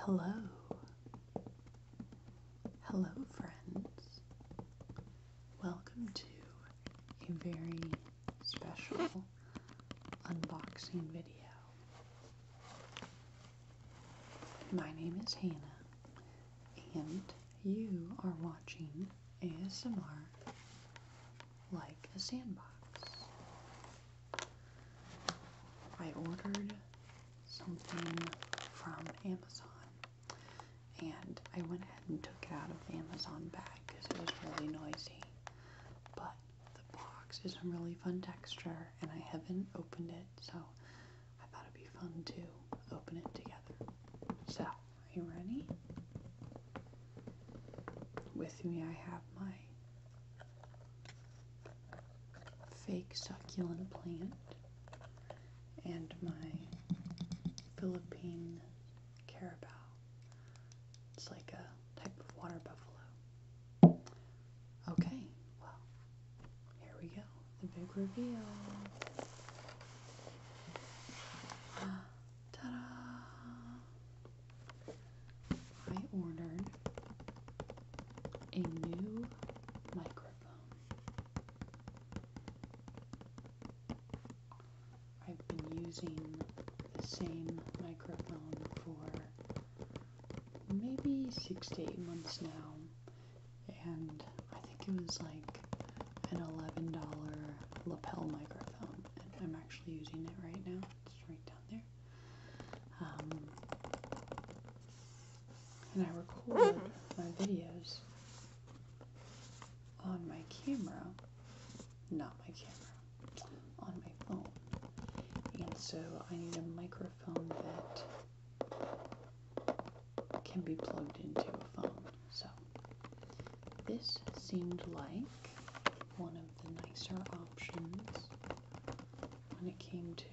Hello. Hello, friends. Welcome to a very special unboxing video. My name is Hannah, and you are watching ASMR like a sandbox. I ordered something from Amazon and I went ahead and took it out of the Amazon bag because it was really noisy. But the box is a really fun texture and I haven't opened it so I thought it'd be fun to open it together. So, are you ready? With me I have my fake succulent plant and my Philippine carabao. It's like a type of water buffalo. Okay, well, here we go. The big reveal. Ah, ta-da! I ordered a new microphone. I've been using the same microphone for maybe six to eight months now, and I think it was like an $11 lapel microphone, and I'm actually using it right now. It's right down there. Um, and I record my videos on my camera, not my camera, on my phone. And so I need a microphone that can be plugged into a phone. So this seemed like one of the nicer options when it came to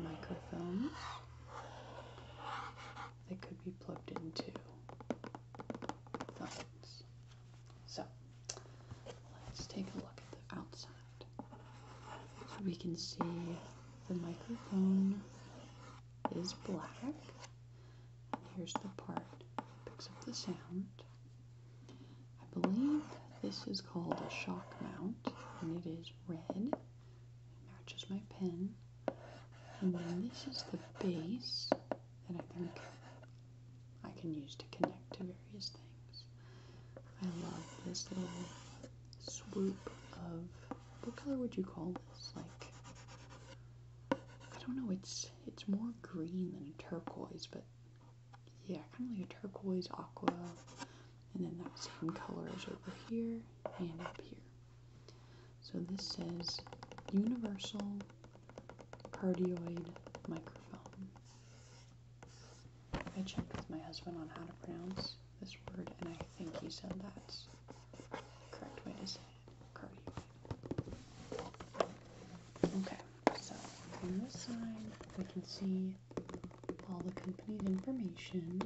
microphones that could be plugged into phones. So let's take a look at the outside. we can see the microphone is black Here's the part that picks up the sound. I believe this is called a shock mount, and it is red. It matches my pen. And then this is the base that I think I can use to connect to various things. I love this little swoop of what color would you call this? Like I don't know, it's it's more green than a turquoise, but yeah, kind of like a turquoise aqua. And then that same color is over here and up here. So this says universal cardioid microphone. I checked with my husband on how to pronounce this word, and I think he said that's the correct way to say it. Okay, so on this side we can see all the company's information.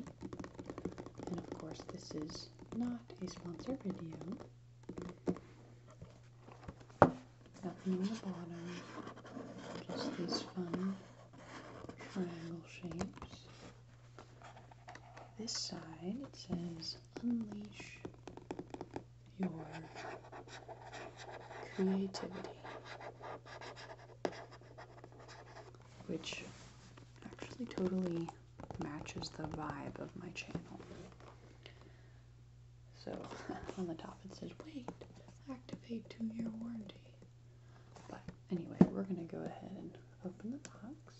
And of course, this is not a sponsored video. Nothing on the bottom, just these fun triangle shapes. This side it says unleash your creativity, which actually totally matches the vibe of my channel. So on the top it says, wait, activate two year warranty. But anyway, we're going to go ahead and open the box.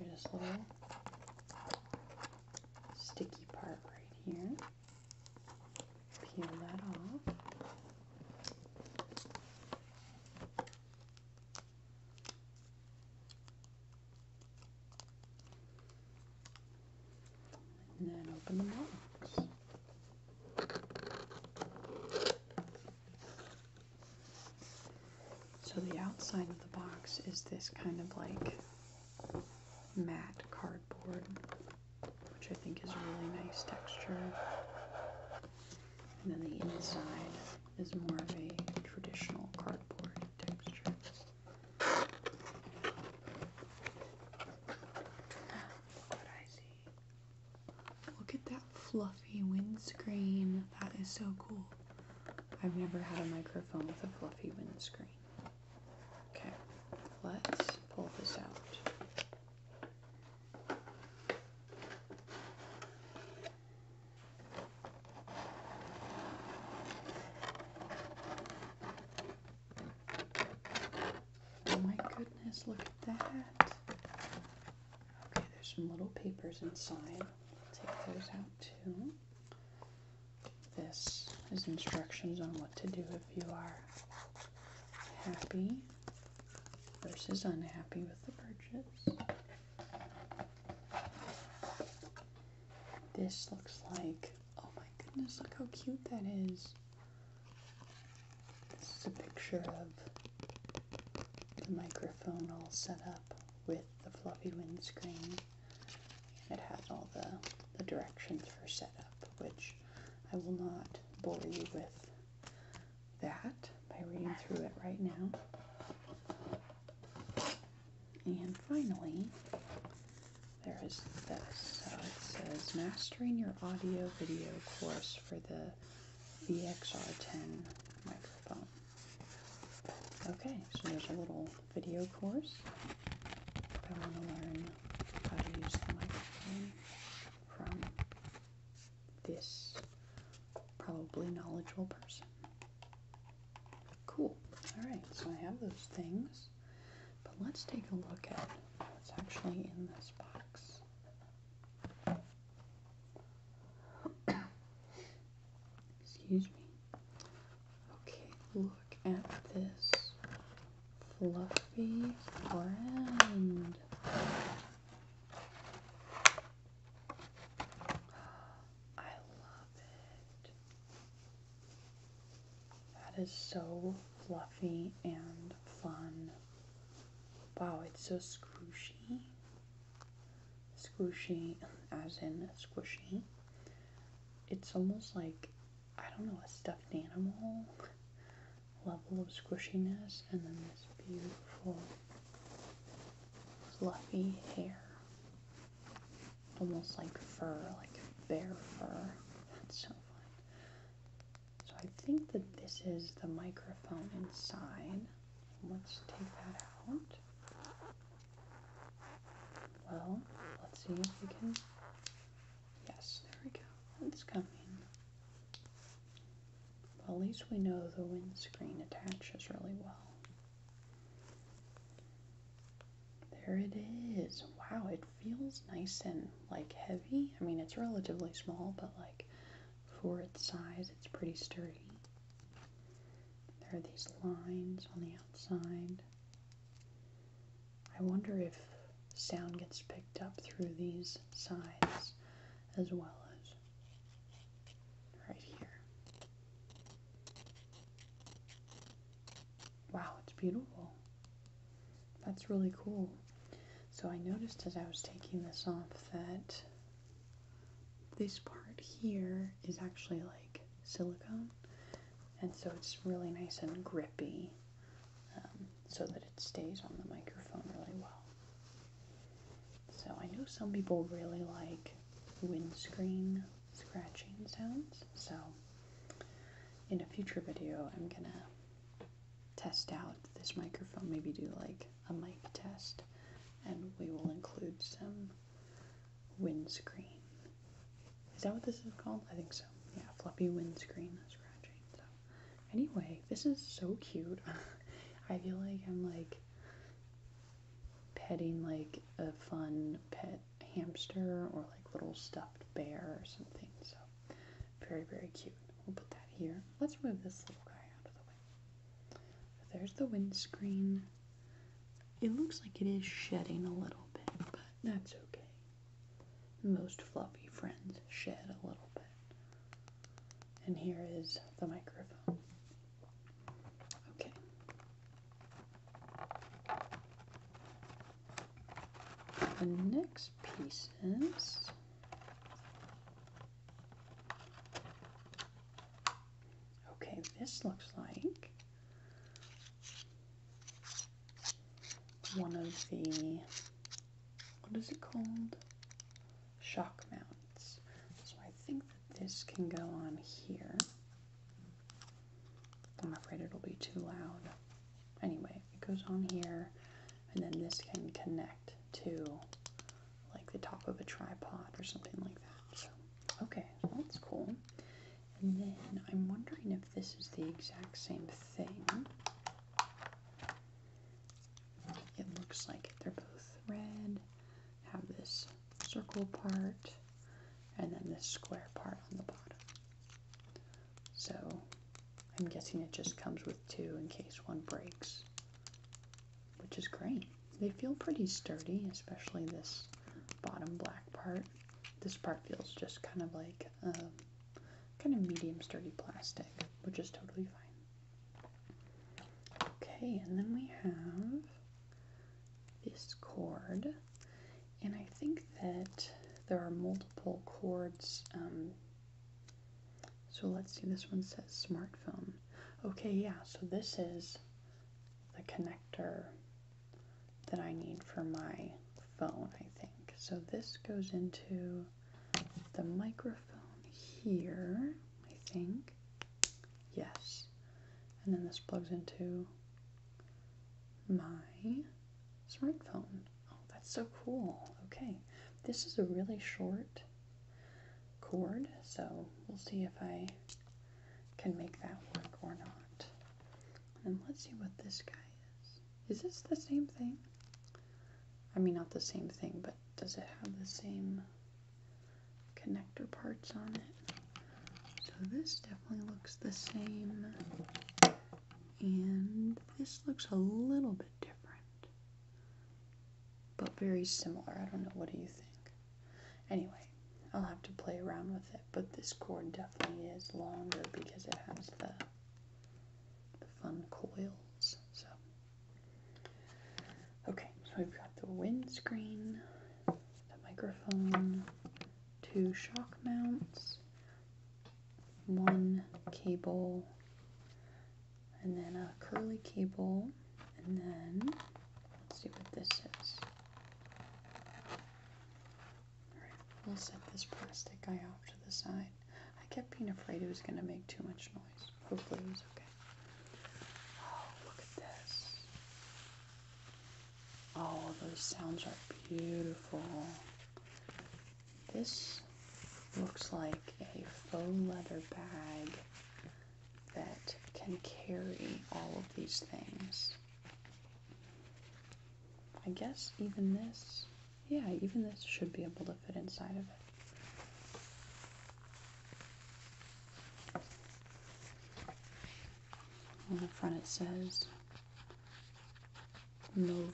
There's this little sticky part right here. Peel that off. And then open the box. So the outside of the box is this kind of like matte cardboard, which I think is a really nice texture. And then the inside is more of a traditional cardboard texture. What I see Look at that fluffy windscreen. That is so cool. I've never had a microphone with a fluffy windscreen. Okay, let's pull this out. Oh my goodness, look at that. Okay, there's some little papers inside. Take those out too. This is instructions on what to do if you are happy versus unhappy with the purchase. This looks like, oh my goodness, look how cute that is. This is a picture of the microphone all set up with the fluffy windscreen. It has all the, the directions for setup, which I will not bore you with that by reading through it right now. And finally, there is this. it says Mastering Your Audio Video Course for the VXR10 microphone. Okay, so there's a little video course. If I want to learn how to use the microphone from this probably knowledgeable person. Cool. Alright, so I have those things. But let's take a look at what's actually in this box. Excuse me. Okay, look at this fluffy friend. I love it. That is so fluffy and fun. Wow, it's so squishy. Squishy, as in squishy. It's almost like, I don't know, a stuffed animal level of squishiness, and then this beautiful fluffy hair. Almost like fur, like bear fur. That's so fun. So I think that this is the microphone inside. Let's take that out. Well, let's see if we can. Yes, there we go. It's coming. Well, at least we know the windscreen attaches really well. There it is. Wow, it feels nice and like heavy. I mean, it's relatively small, but like for its size, it's pretty sturdy. There are these lines on the outside. I wonder if sound gets picked up through these sides as well as right here. Wow, it's beautiful. That's really cool. So I noticed as I was taking this off that this part here is actually like silicone and so it's really nice and grippy um, so that it stays on the microphone really well. So I know some people really like windscreen scratching sounds so in a future video I'm gonna test out this microphone, maybe do like a mic test, and we will include some windscreen. Is that what this is called? I think so. Yeah, fluffy windscreen scratching. So, anyway, this is so cute. I feel like I'm like petting like a fun pet hamster or like little stuffed bear or something. So, very, very cute. We'll put that here. Let's move this little guy out of the way. there's the windscreen. It looks like it is shedding a little bit, but that's okay. Most fluffy friends shed a little bit. And here is the microphone. Okay the next pieces okay this looks like one of the what is it called shock mounts so I think that this can go on here I'm afraid it'll be too loud anyway it goes on here, and then this can connect to like the top of a tripod or something like that. okay, that's cool. And then I'm wondering if this is the exact same thing. It looks like they're both red, have this circle part, and then this square part on the bottom. So I'm guessing it just comes with two in case one breaks, which is great. They feel pretty sturdy, especially this bottom black part. This part feels just kind of like um, kind of medium sturdy plastic, which is totally fine. Okay, and then we have this cord and I think that there are multiple cords. Um, so let's see, this one says smartphone. Okay, yeah, so this is the connector that I need for my phone, I think. So this goes into the microphone here, I think. Yes. And then this plugs into my smartphone. Oh, that's so cool. Okay, this is a really short cord, so we'll see if I can make that work or not. And let's see what this guy is. Is this the same thing? I mean, not the same thing, but does it have the same connector parts on it? So this definitely looks the same and this looks a little bit different, but very similar. I don't know. What do you think? Anyway, I'll have to play around with it, but this cord definitely is longer because it has the, the fun coils. So, okay, so we've got the windscreen, the microphone, two shock mounts, one cable, and then a curly cable, and then let's see what this is. Alright, we'll set this plastic guy off to the side. I kept being afraid it was going to make too much noise. Hopefully, it was okay. Oh, look at this. Oh, those sounds are beautiful. This looks like a faux leather bag that can carry all of these things. I guess even this, yeah, even this should be able to fit inside of it. On the front it says Movo.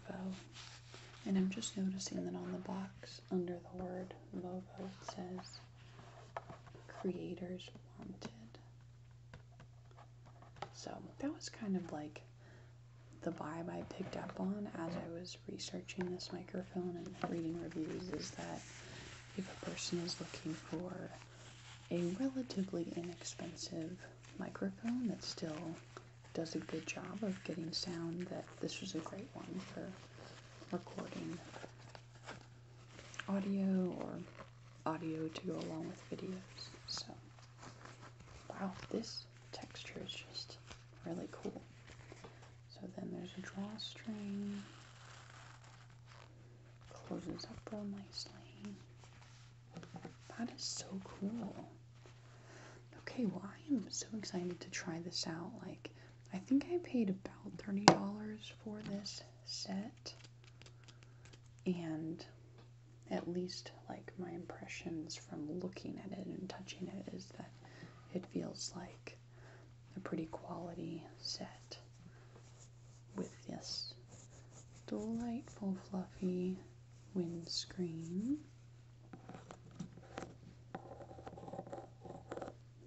And I'm just noticing that on the box under the word Movo it says Creators Wanted. So that was kind of like the vibe I picked up on as I was researching this microphone and reading reviews is that if a person is looking for a relatively inexpensive microphone that still does a good job of getting sound that this was a great one for recording audio or audio to go along with videos so wow this texture is just really cool so then there's a drawstring closes up real nicely. That is so cool. Okay, well, I am so excited to try this out. Like, I think I paid about $30 for this set. And at least, like, my impressions from looking at it and touching it is that it feels like a pretty quality set with this delightful fluffy windscreen.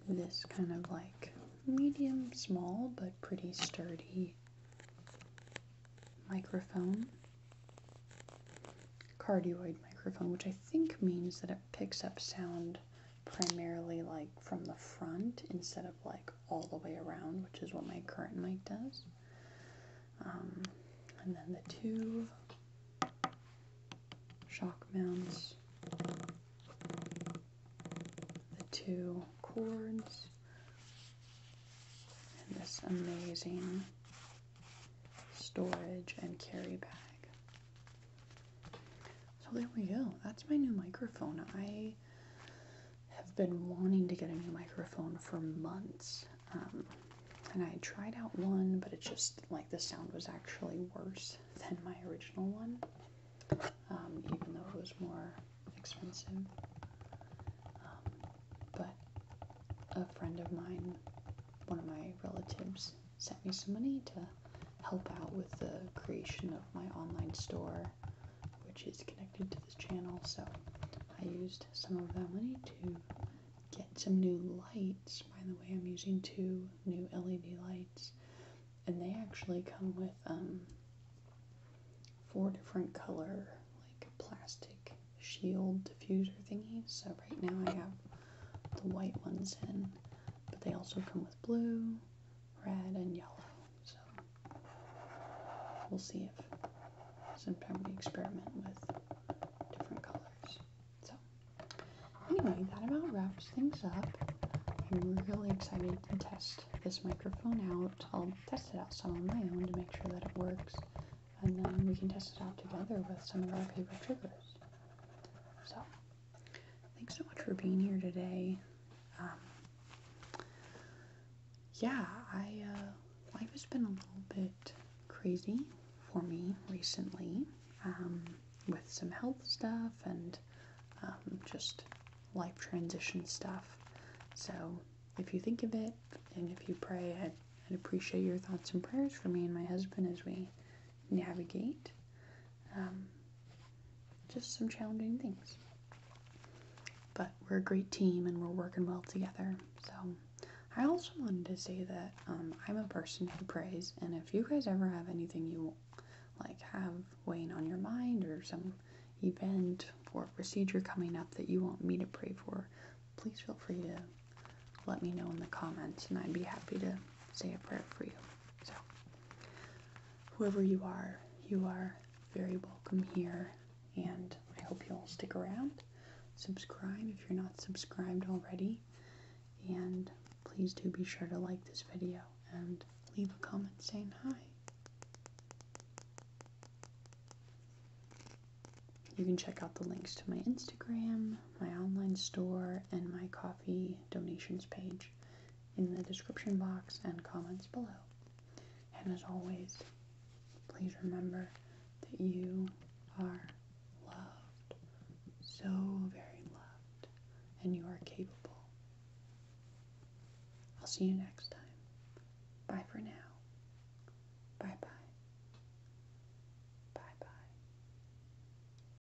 This kind of like medium small but pretty sturdy microphone. Cardioid microphone, which I think means that it picks up sound primarily like from the front instead of like all the way around, which is what my current mic does. Um, and then the two shock mounts, the two cords, and this amazing storage and carry bag. So there we go. That's my new microphone. I have been wanting to get a new microphone for months. Um, and I tried out one, but it just like the sound was actually worse than my original one, um, even though it was more expensive. Um, but a friend of mine, one of my relatives, sent me some money to help out with the creation of my online store which is connected to this channel. So I used some of that money to get some new lights. By the way, I'm using two new LED lights, and they actually come with um, four different color like plastic shield diffuser thingies. So right now I have the white ones in, but they also come with blue, red and yellow. So we'll see if sometime we experiment with different colors. So anyway, that about wraps things up. I'm really excited to test this microphone out. I'll test it out some on my own to make sure that it works, and then we can test it out together with some of our favorite triggers. So Thanks so much for being here today. Um, yeah, I uh, life has been a little bit crazy for me recently um, with some health stuff and um, just life transition stuff. So if you think of it and if you pray, I'd appreciate your thoughts and prayers for me and my husband as we navigate. Um, just some challenging things. But we're a great team and we're working well together. So I also wanted to say that um, I'm a person who prays, and if you guys ever have anything you like have weighing on your mind or some event or procedure coming up that you want me to pray for, please feel free to let me know in the comments, and I'd be happy to say a prayer for you. So, whoever you are, you are very welcome here, and I hope you'll stick around. Subscribe if you're not subscribed already, and please do be sure to like this video and leave a comment saying hi. You can check out the links to my Instagram, my online store, and my coffee donations page in the description box and comments below. And as always, please remember that you are loved, so very loved, and you are capable. I'll see you next time. Bye for now. Bye bye. Bye bye.